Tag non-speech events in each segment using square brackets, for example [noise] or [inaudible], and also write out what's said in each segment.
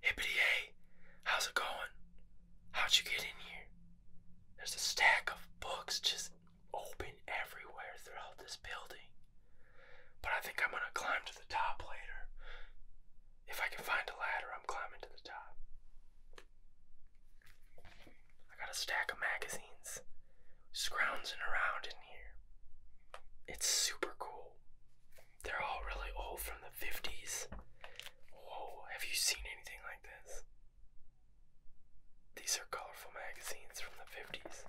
Hippity hey, how's it going? How'd you get in here? There's a stack of books just open everywhere throughout this building. But I think I'm gonna climb to the top later. If I can find a ladder, I'm climbing to the top. I got a stack of magazines scrounging around in here. It's super cool. They're all really old from the 50s. Whoa, have you seen anything like this? These are colorful magazines from the 50s.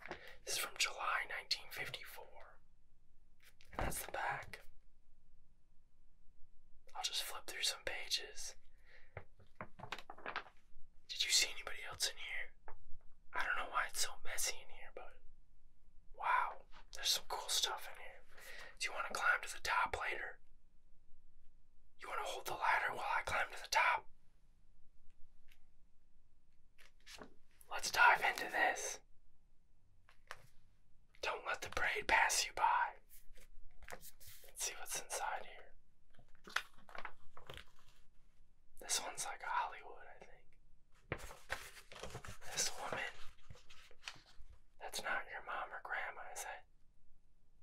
This is from July 1954. And that's the back. I'll just flip through some pages. Did you see anybody else in here? I don't know why it's so messy in here, but Wow, there's some cool stuff in here. Do you want to climb to the top later? You want to hold the ladder while I climb to the top? Let's dive into this. Don't let the braid pass you by. Let's see what's inside here. This one's like Hollywood, I think. This woman. That's not your mom or grandma, is it?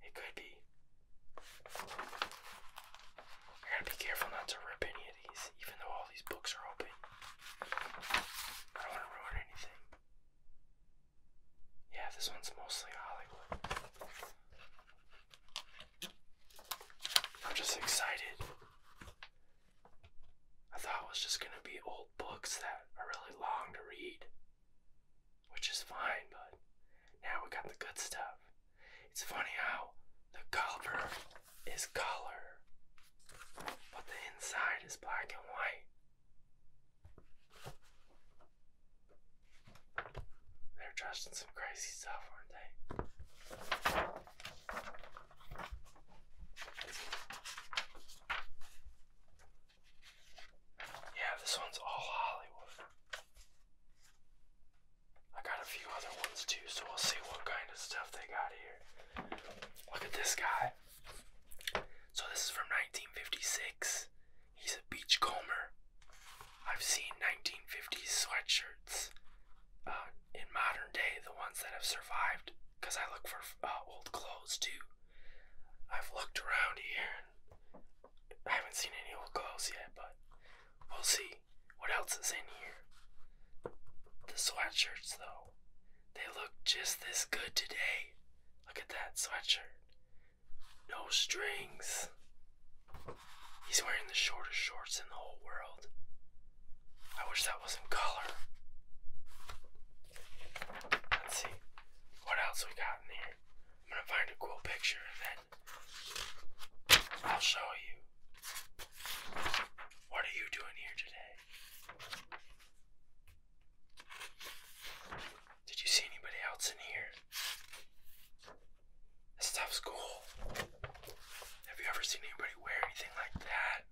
It could be. I gotta be careful not to rip any of these, even though all these books are open. I don't wanna ruin anything. Yeah, this one's mostly Hollywood. I'm just excited. I thought it was just gonna be old books that are really long to read, which is fine, but now we got the good stuff. It's funny how the cover is color, but the inside is black and white. They're dressed in some crazy stuff, aren't they? Yeah, this one's all Hollywood. I got a few other ones too, so we'll see what kind of stuff they got here. Look at this guy. So, this is from 1956. He's a beachcomber. I've seen 1950s sweatshirts uh, in modern day, the ones that have survived because I look for uh, old clothes too. I've looked around here and I haven't seen any old clothes yet, but we'll see what else is in here. The sweatshirts, though, they look just this good today. Look at that sweatshirt. No strings. He's wearing the shortest shorts in the whole world. I wish that was in color. Let's see what else we got in here. I'm gonna find a cool picture and then I'll show you. What are you doing here today? Did you see anybody else in here? This stuff's cool. Have you ever seen anybody wear anything like that?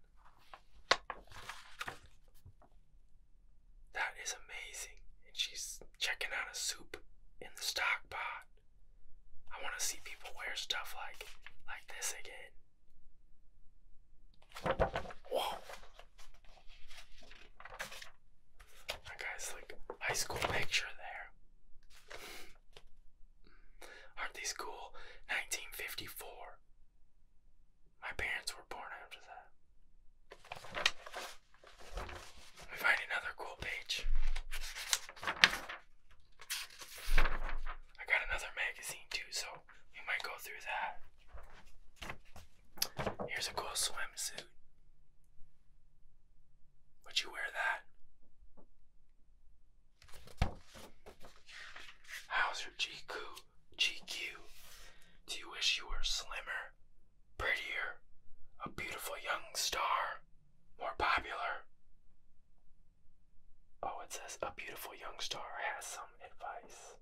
That is amazing. And she's checking out a soup in the stock pot. I want to see people wear stuff like like this again. Whoa. That guy's like high school picture there. Aren't these cool? 1954. My parents were born after that. We find another cool page. I got another magazine too, so we might go through that. Here's a cool swimsuit. Would you wear that? How's your GQ? GQ? Do you wish you were slimmer, prettier, a beautiful young star, more popular? Oh, it says a beautiful young star has some advice.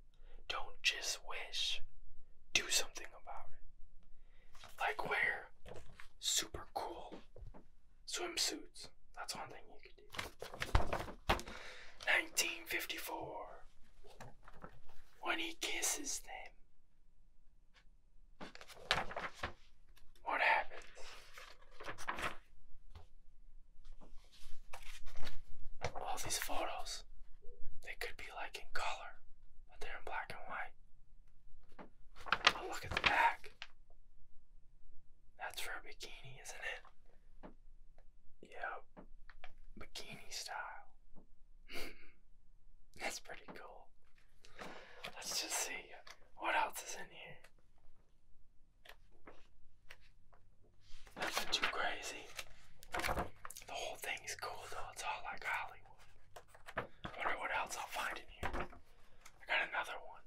Don't just wish, do something about it. Like wear super cool swimsuits. That's one thing you can. 1954, when he kisses them, what happens? All these photos, they could be like in color, but they're in black and white. Oh, look at the back. That's for a bikini, isn't it? Yep. Bikini style. [laughs] That's pretty cool. Let's just see what else is in here. Nothing too crazy. The whole thing is cool though. It's all like Hollywood. I wonder what else I'll find in here. I got another one.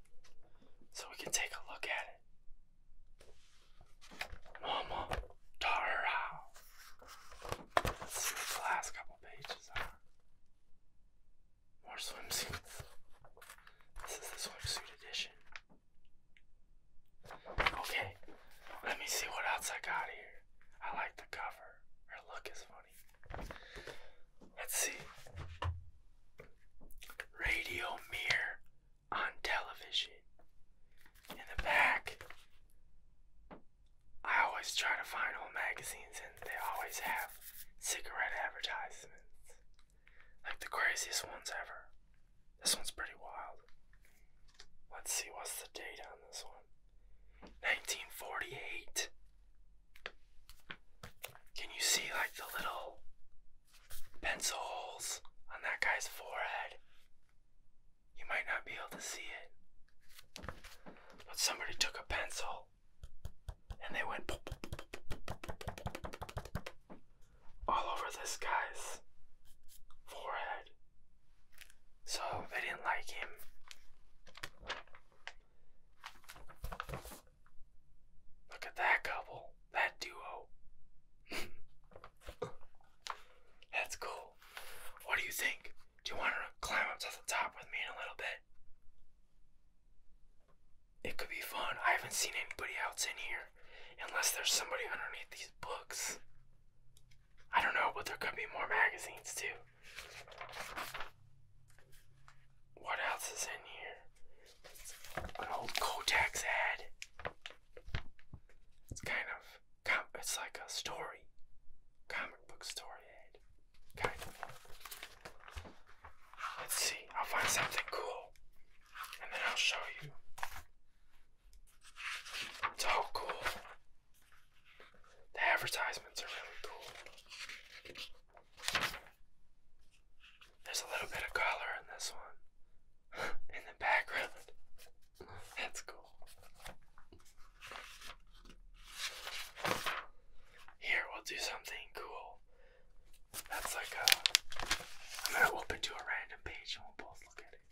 So we can take a look at it. Mama Tara. Let's see what the last couple pages are. More swimsuits. This is the swimsuit edition. Okay, let me see what else I got here. I like the cover. Her look is funny. Let's see. Radio Mirror on television. In the back, I always try to find old magazines, and they always have cigarette advertisements. Like the craziest ones ever. This one's pretty wild. Let's see what's the date on this one. 1948. Can you see like the little pencil holes on that guy's forehead. You might not be able to see it. But somebody took a pencil and they went all over this guy's forehead. So they didn't like him. Look at that couple, that duo. That's cool. What do you think? Do you want to climb up to the top with me in a little bit? It could be fun. I haven't seen anybody else in here. Unless there's somebody underneath these books. I don't know, but there could be more magazines too. What else is in here? an old Kotex ad. It's kind of, com it's like a story, comic book story ad, kind of. Let's see, I'll find something cool, and then I'll show you. It's all cool. The advertisements are really cool. There's a little bit of color in this one. [laughs] in the background. That's cool. Here, we'll do something cool. That's like a. I'm gonna open to a random page and we'll both look at it.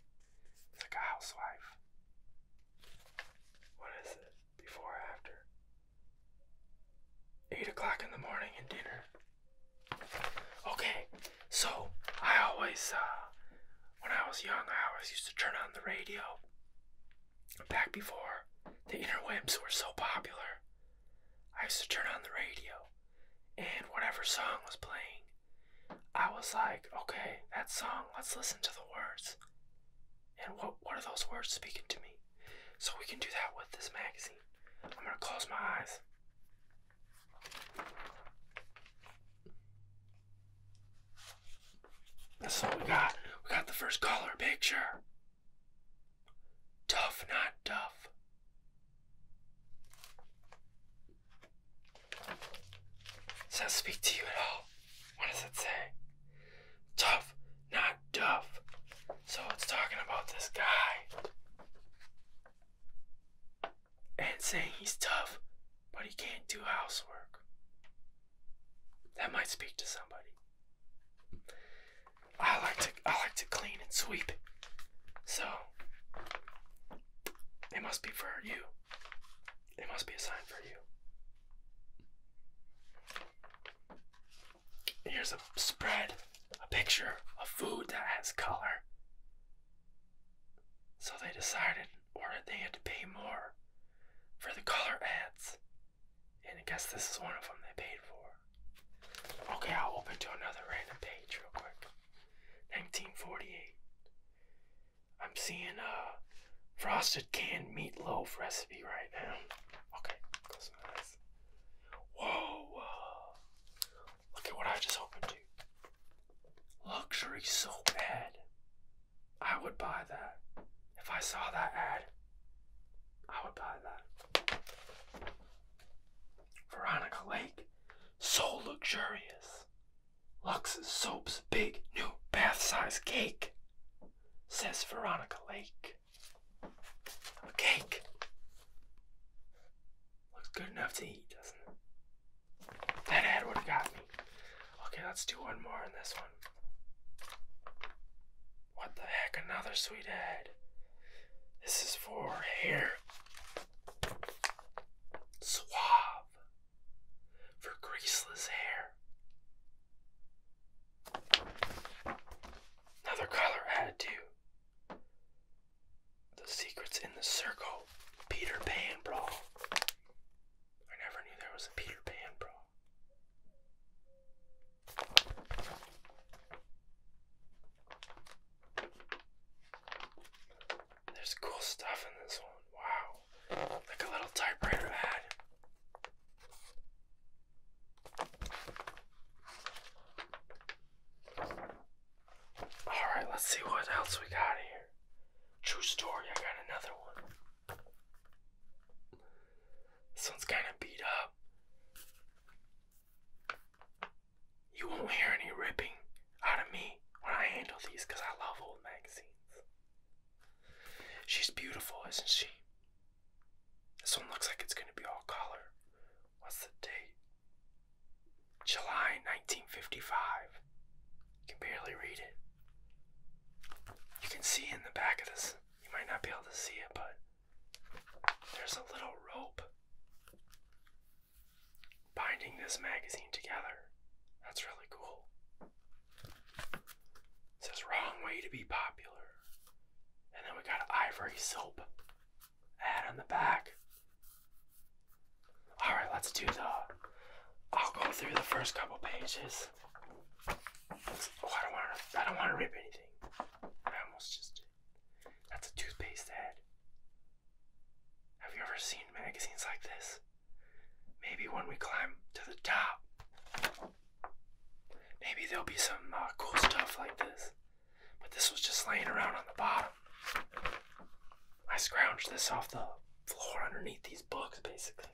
It's like a housewife. What is it? Before after? 8 o'clock in the morning and dinner. Okay, so I always, uh, when I was young, I always used to turn on the radio. Back before the interwebs were so popular, I used to turn on the radio, and whatever song was playing, I was like, okay, that song, let's listen to the words. And what, what are those words speaking to me? So we can do that with this magazine. I'm gonna close my eyes. That's all we got. We got the first color picture. Tough, not tough. Does that speak to you at all? What does it say? Tough, not tough. So it's talking about this guy and saying he's tough, but he can't do housework. That might speak to somebody. I like to I like to clean and sweep. So it must be for you. It must be a sign for you. Here's a spread, a picture of food that has color. So they decided, or they had to pay more for the color ads. And I guess this is one of them they paid for. Okay, I'll open to another random page real quick. 1948. I'm seeing a frosted canned meatloaf recipe right now. Okay, close enough stuff. Whoa! Uh, look at what I just opened Luxury soap ad. I would buy that. If I saw that ad, I would buy that. Veronica Lake. So luxurious. Lux's soap's big new bath size cake, says Veronica Lake cake. A cake. Looks good enough to eat, doesn't it? That ad would have got me. Okay, let's do one more on this one. What the heck? Another sweet ad. This is for hair. Swab For greaseless hair. Another color added too. The secrets in the circle. Peter Pan, bro. I never knew there was a Peter Pan, bro. There's cool stuff in this one. Wow. Like a little typewriter ad. Alright, let's see what else we got here. True story, I got another one. This one's kind of beat up. You won't hear any ripping out of me when I handle these I love old magazines. She's beautiful, isn't she? This one looks like it's going to be all color. What's the date? July 1955. You can barely read it. You can see in the back of this, you might not be able to see it, but there's a little rope binding this magazine together. That's really cool. It says wrong way to be popular. And then we got ivory soap head on the back. All right, let's do the. I'll go through the first couple pages. oh, I don't want to. I don't want to rip anything. I almost just That's a toothpaste head. Have you ever seen magazines like this? Maybe when we climb to the top, maybe there'll be some uh, cool stuff like this. But this was just laying around on the bottom. I scrounged this off the floor underneath these books, basically.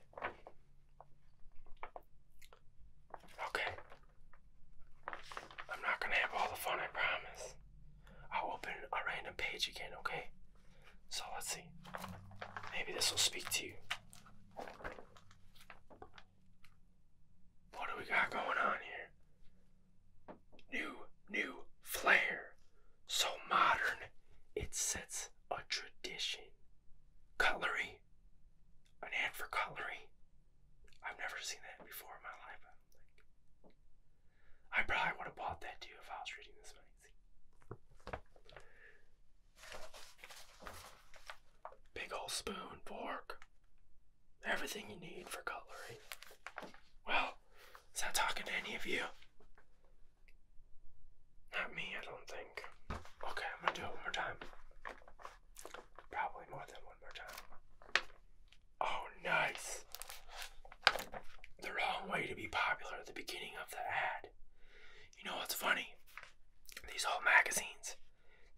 Okay. I'm not gonna have all the fun, I promise. I'll open a random page again, okay? So let's see. Maybe this will speak to you. What do we got going on here? New, new flare, So modern, it sets a tradition. Cutlery. An for cutlery. I've never seen that before in my life, I don't I probably would have bought that too if I was reading this magazine. Big old spoon, fork everything you need for cutlery. Well, is that talking to any of you? Not me, I don't think. Okay, I'm gonna do it one more time. Probably more than one more time. Oh, nice! The wrong way to be popular at the beginning of the ad. You know what's funny? These old magazines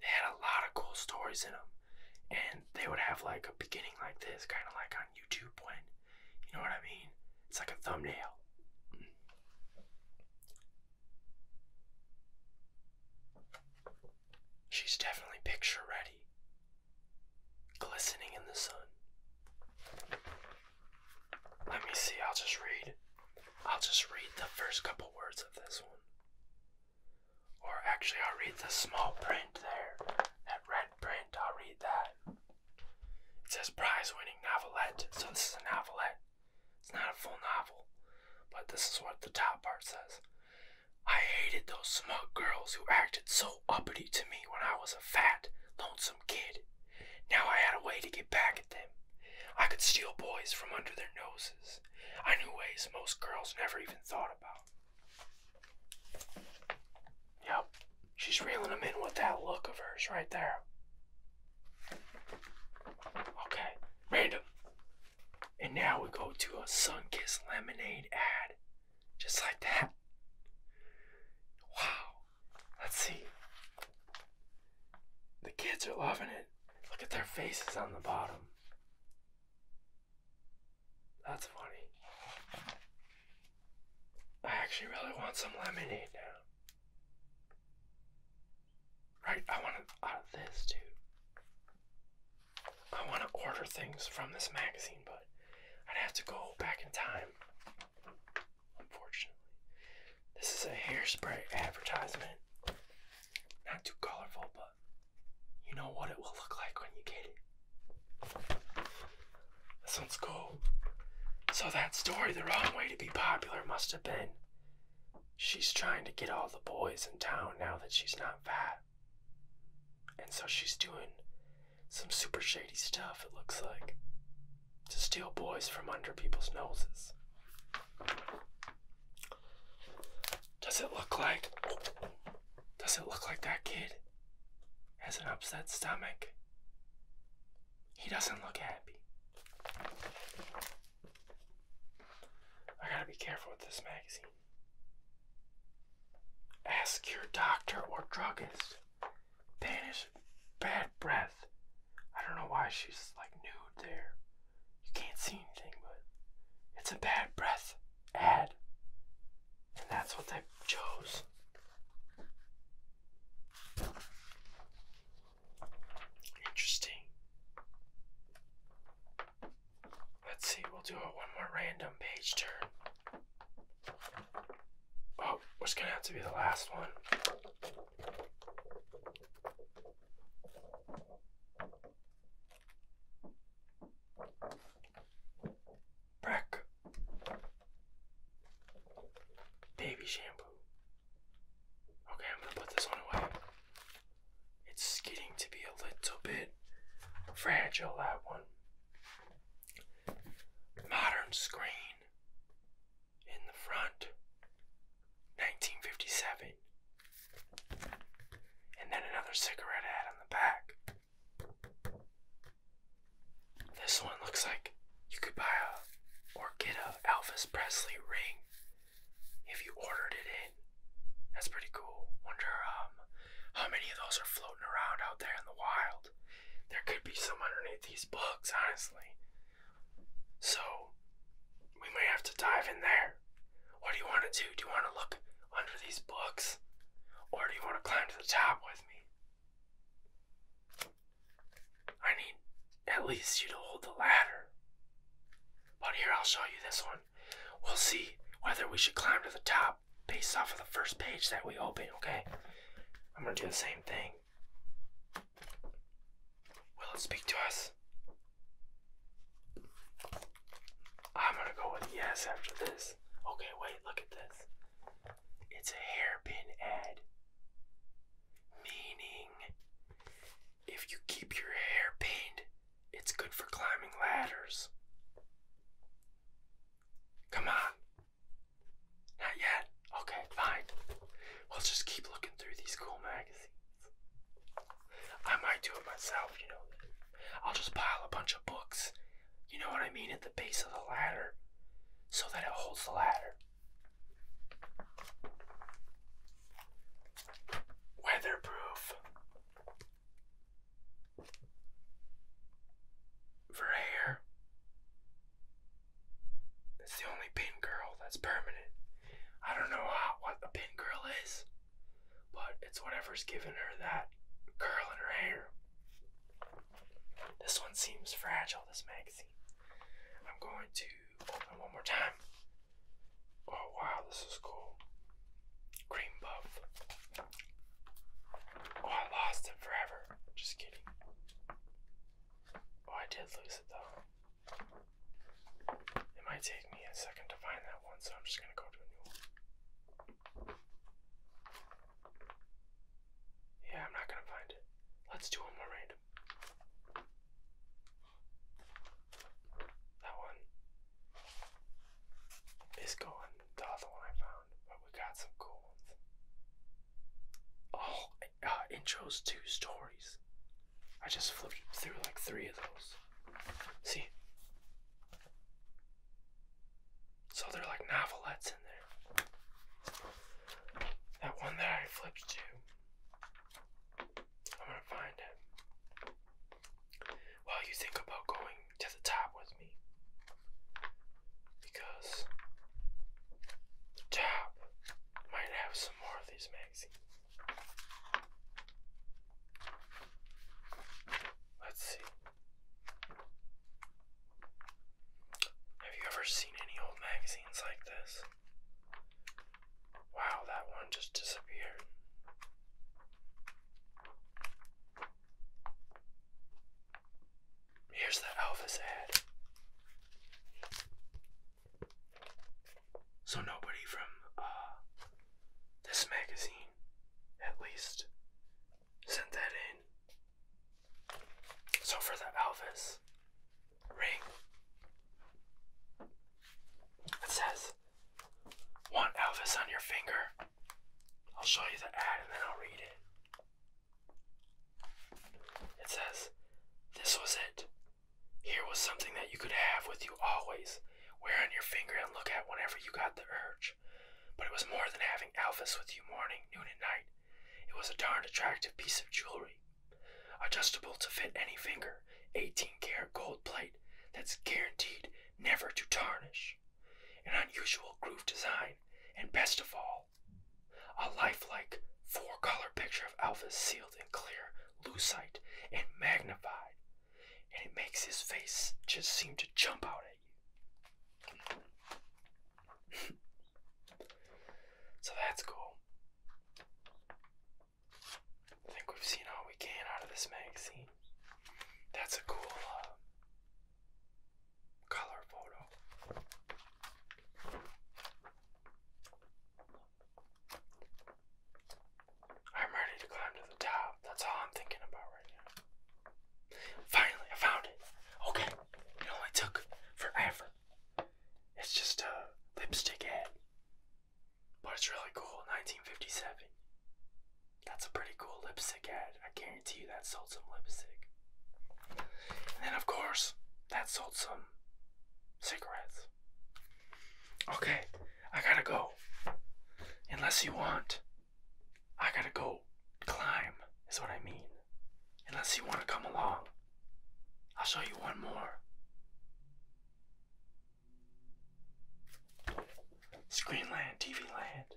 they had a lot of cool stories in them. And they would have like a beginning like this, kind of like on YouTube when, you know what I mean? It's like a thumbnail. She's definitely picture ready, glistening in the sun. Let me see, I'll just read. I'll just read the first couple words of this one. Or actually, I'll read the small print there. That red print, I'll read that. It says prize winning novelette. So this is a novelette. It's not a full novel. But this is what the top part says. I hated those smug girls who acted so uppity to me when I was a fat, lonesome kid. Now I had a way to get back at them. I could steal boys from under their noses. I knew ways most girls never even thought about. Yep, she's reeling him in with that look of hers right there. Okay, random. And now we go to a Sunkissed Lemonade ad. Just like that. Wow. Let's see. The kids are loving it. Look at their faces on the bottom. That's funny. I actually really want some lemonade now. Right, I want to, uh, this too. I want to order things from this magazine, but I'd have to go back in time. Unfortunately. This is a hairspray advertisement. Not too colorful, but you know what it will look like when you get it. That sounds cool. So that story, The Wrong Way to Be Popular, must have been she's trying to get all the boys in town now that she's not fat. And so she's doing some super shady stuff, it looks like, to steal boys from under people's noses. Does it look like Does it look like that kid has an upset stomach? He doesn't look happy. I gotta be careful with this magazine. Ask your doctor or druggist. Banish bad breath. I don't know why she's like nude there you can't see anything, but it's a bad breath ad. And that's what they chose. Interesting. Let's see, we'll do one more random page turn. Oh, what's gonna have to be the last one? Brack. Baby shampoo. Okay, I'm gonna put this one away. It's getting to be a little bit fragile, that one. Modern screen in the front. 1957. And then another cigarette ad on the back. This one looks like you could buy a or get a Elvis Presley ring if you ordered it in. That's pretty cool. Wonder um how many of those are floating around out there in the wild. There could be some underneath these books, honestly. So we might have to dive in there. What do you want to do? Do you want to look under these books? Or do you want to climb to the top with me? I need at least you to hold the ladder. But here, I'll show you this one. We'll see whether we should climb to the top based off of the first page that we open, okay? I'm gonna do the same thing. Will it speak to us? I'm gonna go with yes after this. Okay, wait, look at this. It's a hairpin ad. Meaning, if you keep your hair pinned, it's good for climbing ladders. Come on. Not yet. Okay, fine. We'll just keep looking through these cool magazines. I might do it myself, you know. I'll just pile a bunch of books, you know what I mean, at the base of the ladder so that it holds the ladder. Weatherproof for hair. It's the only pin curl that's permanent. I don't know what a pin curl is. But it's whatever's giving her that curl in her hair. This one seems fragile, this magazine. I'm going to open one more time. Oh wow, this is cool. Cream buff. Oh, I lost it forever. Just kidding. Oh, I did lose it though. It might take me a second to find that one, so I'm just gonna go to a new one. Yeah, I'm not gonna find it. Let's do one more random. That one is gone. The other one I found, but we got some cool ones. Oh, uh, intros to stories. I just flipped through like three of those. See? So they're like novelettes in there. That one that I flipped to. I'm gonna find it. While you think about going to the top with me. Because the top might have some more of these man. Let's see. Have you ever seen any old magazines like this? Wow, that one just disappeared. Here's the Elvis ad. So nobody from uh, this magazine, at least, sent that in. So for the Elvis ring, it says, Want Elvis on your finger? I'll show you the ad and then I'll read it. It says, This was it. Here was something that you could have with you always, wear on your finger and look at whenever you got the urge. But it was more than having Alphys with you morning, noon, and night. It was a darned attractive piece of jewelry, adjustable to fit any finger, 18 karat gold plate that's guaranteed never to tarnish, an unusual groove design, and best of all, a lifelike four color picture of Alphys sealed and clear lucite and magnified, and it makes his face just seem to jump out at you. [laughs] so that's cool. I think we've seen all we can out of this magazine. That's a cool uh, color photo. I'm ready to climb to the top. That's all I'm thinking about right now. Finally, I found it. Okay, it only took forever. It's just a lipstick ad, but it's really cool. 1957. That's a pretty cool lipstick ad. I guarantee you that sold some lipstick. And then, of course, that sold some cigarettes. Okay, I gotta go. Unless you want, I gotta go climb, is what I mean. Unless you want to come along, I'll show you one more. Screenland, TV Land.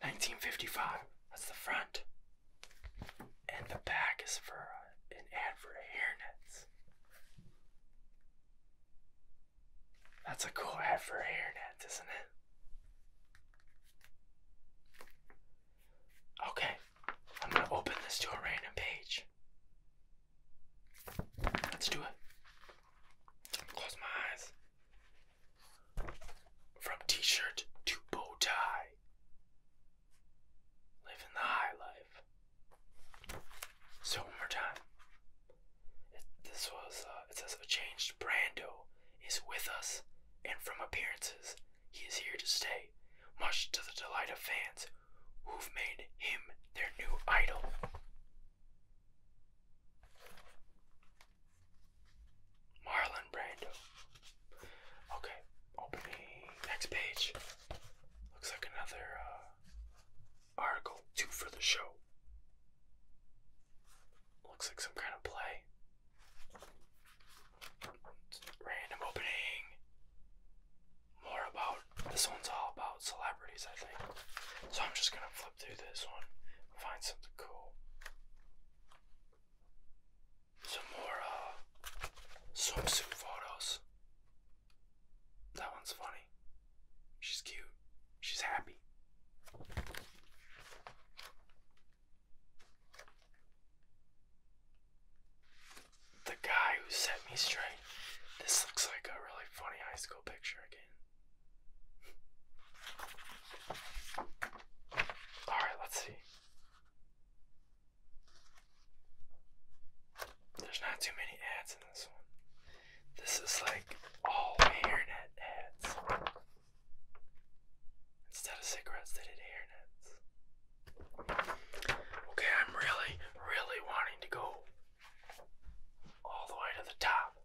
1955, that's the front. And the back is for uh, an ad for hairnets. That's a cool ad for a hairnet, isn't it? Okay, I'm gonna open this to a random page. Let's do it. Close my eyes. From t shirt to bow tie, Living the high life. So one more time. It, this was uh, it says a changed Brando is with us, and from appearances, he is here to stay, much to the delight of fans who've made him their new idol. Marlon Brando. Okay, Opening next page. Looks like another uh, article, two for the show. Looks like some kind of play. Random opening. More about this one's all about celebrities, I think. So I'm just gonna flip through this one, find something cool. Some more uh, swimsuit photos. That one's funny. She's cute. She's happy. The guy who set me straight. This looks like a really funny high school picture again. [laughs] Alright, let's see. There's not too many ads in this one. This is like all hairnet ads. Instead of cigarettes, they did hairnets. Okay, I'm really, really wanting to go all the way to the top.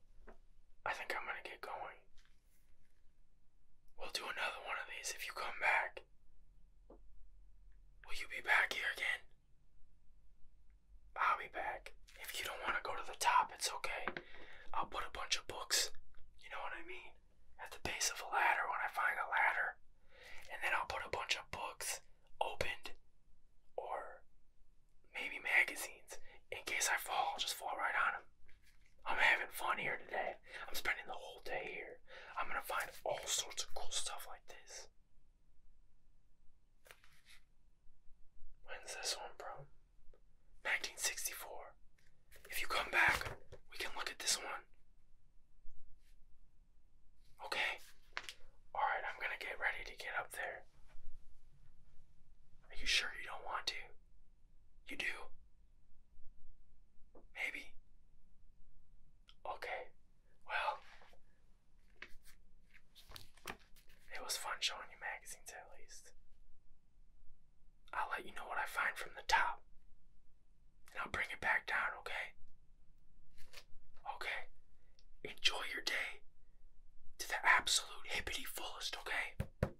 I think I'm gonna get going. We'll do another one of these if you come back. Will you be back here again? I'll be back. If you don't want to go to the top, it's okay. I'll put a bunch of books, you know what I mean, at the base of a ladder when I find a ladder. And then I'll put a bunch of books opened or maybe magazines in case I fall, just fall right on them. I'm having fun here today. I'm spending the whole day here. I'm gonna find all sorts of cool stuff like this. When's this one bro? 1964. If you come back, we can look at this one. Okay. Alright, I'm gonna get ready to get up there. Are you sure you don't want to? You do? Maybe? Okay. Well, it was fun showing you magazines at least. I'll let you know what I find from the top. And I'll bring it back down, okay? Okay. Enjoy your day to the absolute hippity fullest, okay?